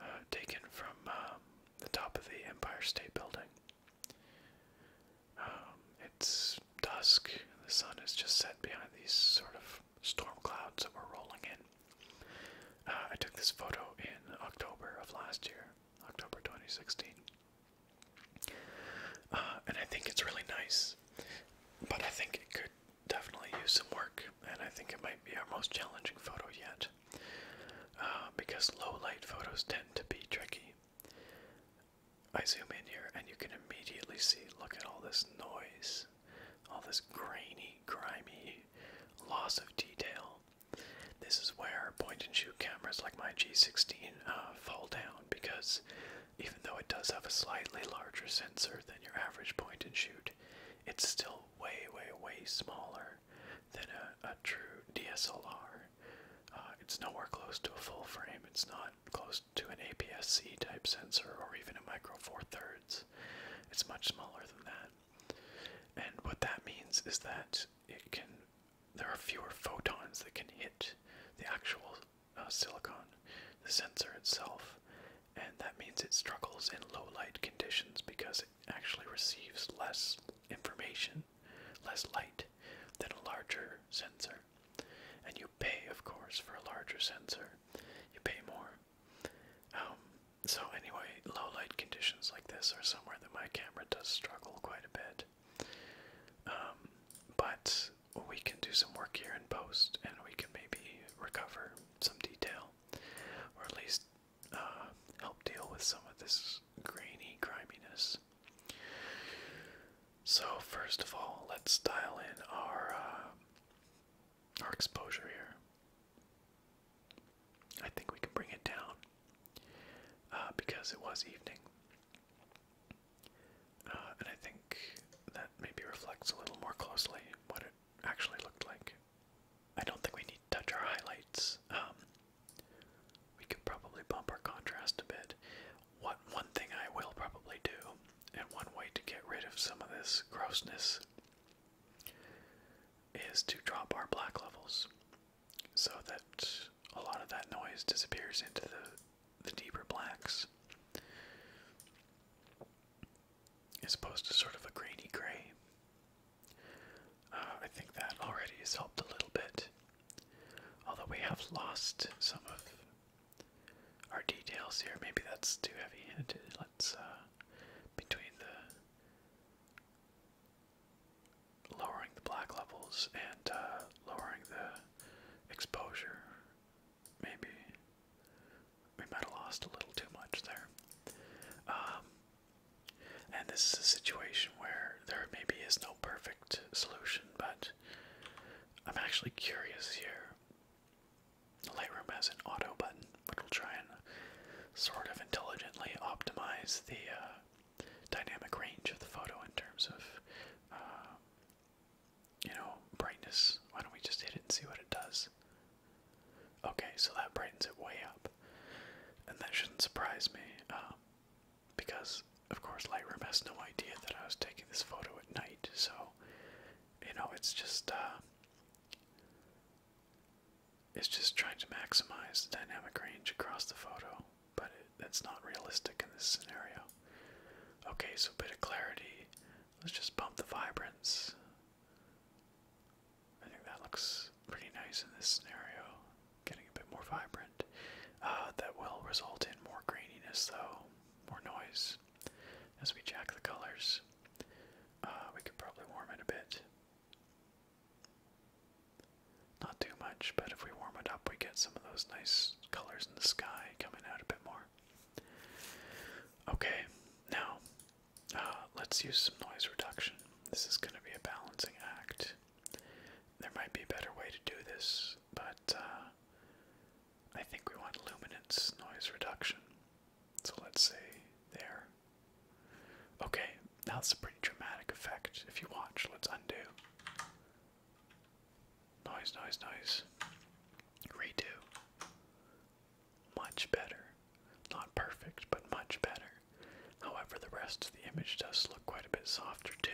uh, taken from um, the top of the Empire State Building. Um, it's dusk, and the sun has just set behind these sort of storm clouds that were rolling in. Uh, I took this photo in October of last year, October 2016. Uh, and I think it's really nice, but I think it could definitely use some work, and I think it might be our most challenging photo yet. Uh, because low light photos tend to be tricky. I zoom in here, and you can immediately see look at all this noise all this grainy, grimy loss of detail. This is where point and shoot cameras like my G16 uh, fall down because even though it does have a slightly larger sensor than your average point and shoot, it's still way, way, way smaller than a, true DSLR. Uh, it's nowhere close to a full frame, it's not close to an APS C type sensor or even a micro four thirds it's much smaller than that. And what that means is that it can there are fewer photons that can hit the actual uh, silicon, the sensor itself, and that means it struggles in low light conditions because it actually receives less information, less light than a larger sensor. And you pay, of course, for a larger sensor. You pay more. Um, so anyway, low light conditions like this are somewhere that my camera does struggle quite a bit. Um, but we can do some work here in post, and we can maybe recover some detail, or at least uh, help deal with some of this grainy griminess. So first of all, let's dial in our uh, our exposure here. I think we can bring it down uh, because it was evening. Uh, and I think that maybe reflects a little more closely what it actually looked like. I don't think we need to touch our highlights. Um, we could probably bump our contrast a bit. What one thing I will probably do, and one way to get rid of some of this grossness, is to drop our black levels so that a lot of that noise disappears into the, the deeper blacks as opposed to sort of a grainy gray. Uh, I think that already has helped a little bit, although we have lost some of our details here. Maybe that's too heavy. Let's uh, between the lowering the black levels and uh, lowering the exposure. Maybe we might have lost a little too much there. Um, and this is a situation where there maybe is no perfect solution, but I'm actually curious here Lightroom has an auto button, which will try and sort of intelligently optimize the uh, dynamic range of the photo in terms of, uh, you know, brightness. Why don't we just hit it and see what it does? Okay, so that brightens it way up, and that shouldn't surprise me, um, because of course Lightroom has no idea that I was taking this photo at night. So, you know, it's just uh, it's just trying to maximize the dynamic range across the photo, but it, that's not realistic in this scenario. Okay, so a bit of clarity. Let's just bump the vibrance. I think that looks pretty nice in this scenario. Getting a bit more vibrant. Uh, that will result in more graininess, though, more noise as we jack the colors. Uh, we could probably warm it a bit. Not too much, but if we warm it up, we get some of those nice colors in the sky coming out a bit more. Okay, now uh, let's use some noise reduction. This is going to be a balancing act. There might be a better way to do this, but uh, I think we want luminance noise reduction. So let's say there. Okay, now it's a pretty dramatic effect. If you watch, let's undo. Noise, noise, noise. Redo. Much better. Not perfect, but much better. However, the rest of the image does look quite a bit softer too.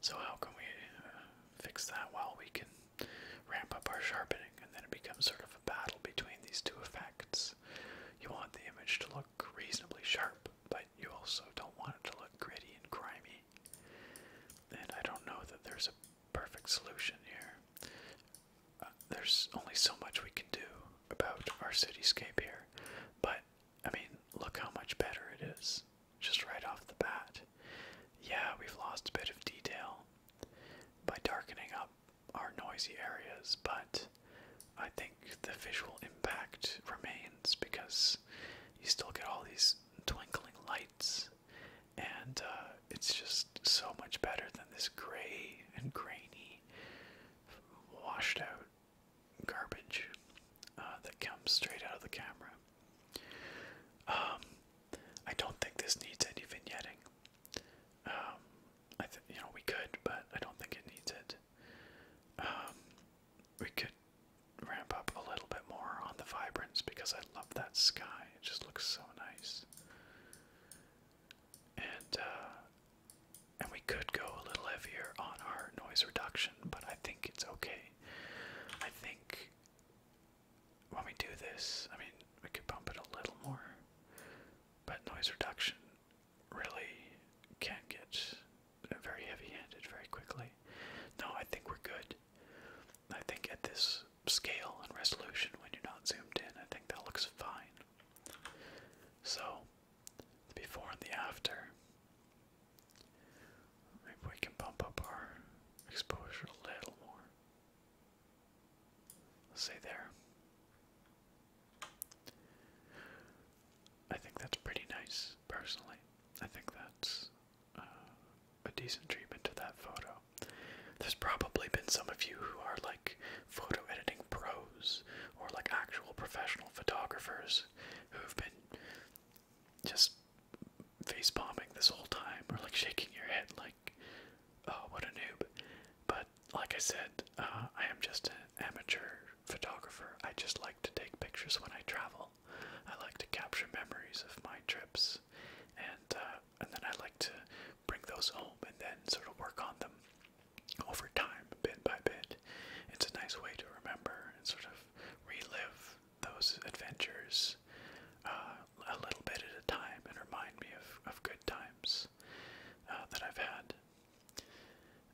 So how can we uh, fix that? Well, we can ramp up our sharpening, and then it becomes sort of a battle between these two effects. You want the image to look reasonably sharp, but you also don't want it to look gritty and grimy. And I don't know that there's a perfect solution here. Uh, there's only so much we can do about our cityscape here, but I mean, look how much better it is just right off the bat. Yeah, we've lost a bit of detail. By darkening up are noisy areas, but I think the visual impact remains because you still get all these twinkling lights, and uh, it's just so much better than this gray and grainy, washed out garbage uh, that comes straight out of the camera. Um, I don't think this needs any vignetting. Um, I you know we could, but I don't think it needs it. Um, we could ramp up a little bit more on the vibrance because I love that sky. It just looks so nice. And uh, and we could go a little heavier on our noise reduction, but I think it's okay. I think when we do this, I mean, we could bump it a little more, but noise reduction really can get very heavy-handed very quickly. No, I think we're good. I think at this scale and resolution, when you're not zoomed in, I think that looks fine. So, the before and the after. Maybe we can bump up our exposure a little more say there. I think that's pretty nice, personally. I think that's uh, a decent treatment to that photo. There's probably been some of you who are like photo editing pros or like actual professional photographers who've been just face bombing this whole time or like shaking your head like like, oh, what a noob. But like I said, uh, I am just an amateur photographer. I just like to take pictures when I travel. I like to capture memories of my trips, and uh, and then I like to bring those home and then sort of work on them over time, bit by bit. It's a nice way to remember and sort of relive those adventures uh, a little bit at a time and remind me of, of good times. Uh, that I've had.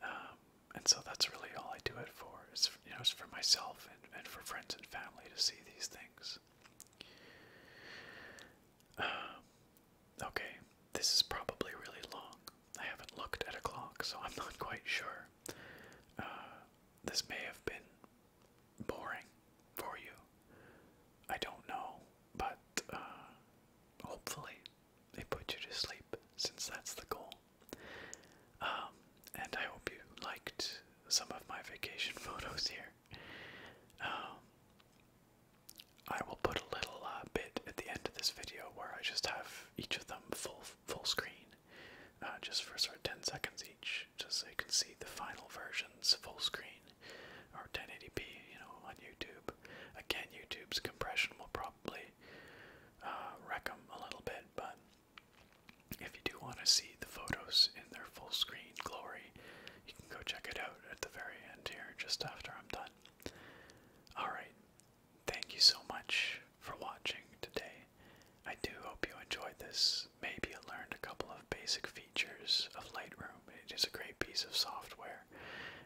Um, and so that's really all I do it for. It's you know, it's for myself and, and for friends and family to see these things. Um, okay, this is probably really long. I haven't looked at a clock, so I'm not quite sure. Uh, this may have been boring for you. I don't know. But uh, hopefully, they put you to sleep since that's the goal. Um, and I hope you liked some of my vacation photos here. Um, I will put a little uh, bit at the end of this video where I just have each of them full full screen, uh, just for sort of 10 seconds each, just so you can see the final versions full screen or 1080p, you know, on YouTube. Again, YouTube's compression will probably uh, wreck them a little bit, but if you do want to see the photos in their full screen glory, you can go check it out at the very end here, just after I'm done. Alright, thank you so much for watching today. I do hope you enjoyed this. Maybe you learned a couple of basic features of Lightroom. It is a great piece of software,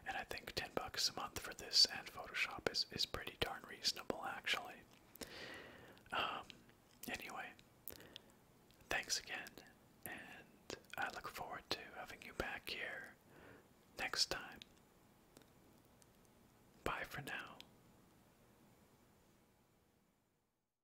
and I think 10 bucks a month for this and Photoshop is, is pretty darn reasonable, actually. Um, anyway, thanks again, and I look forward to having you back here next time. Bye for now.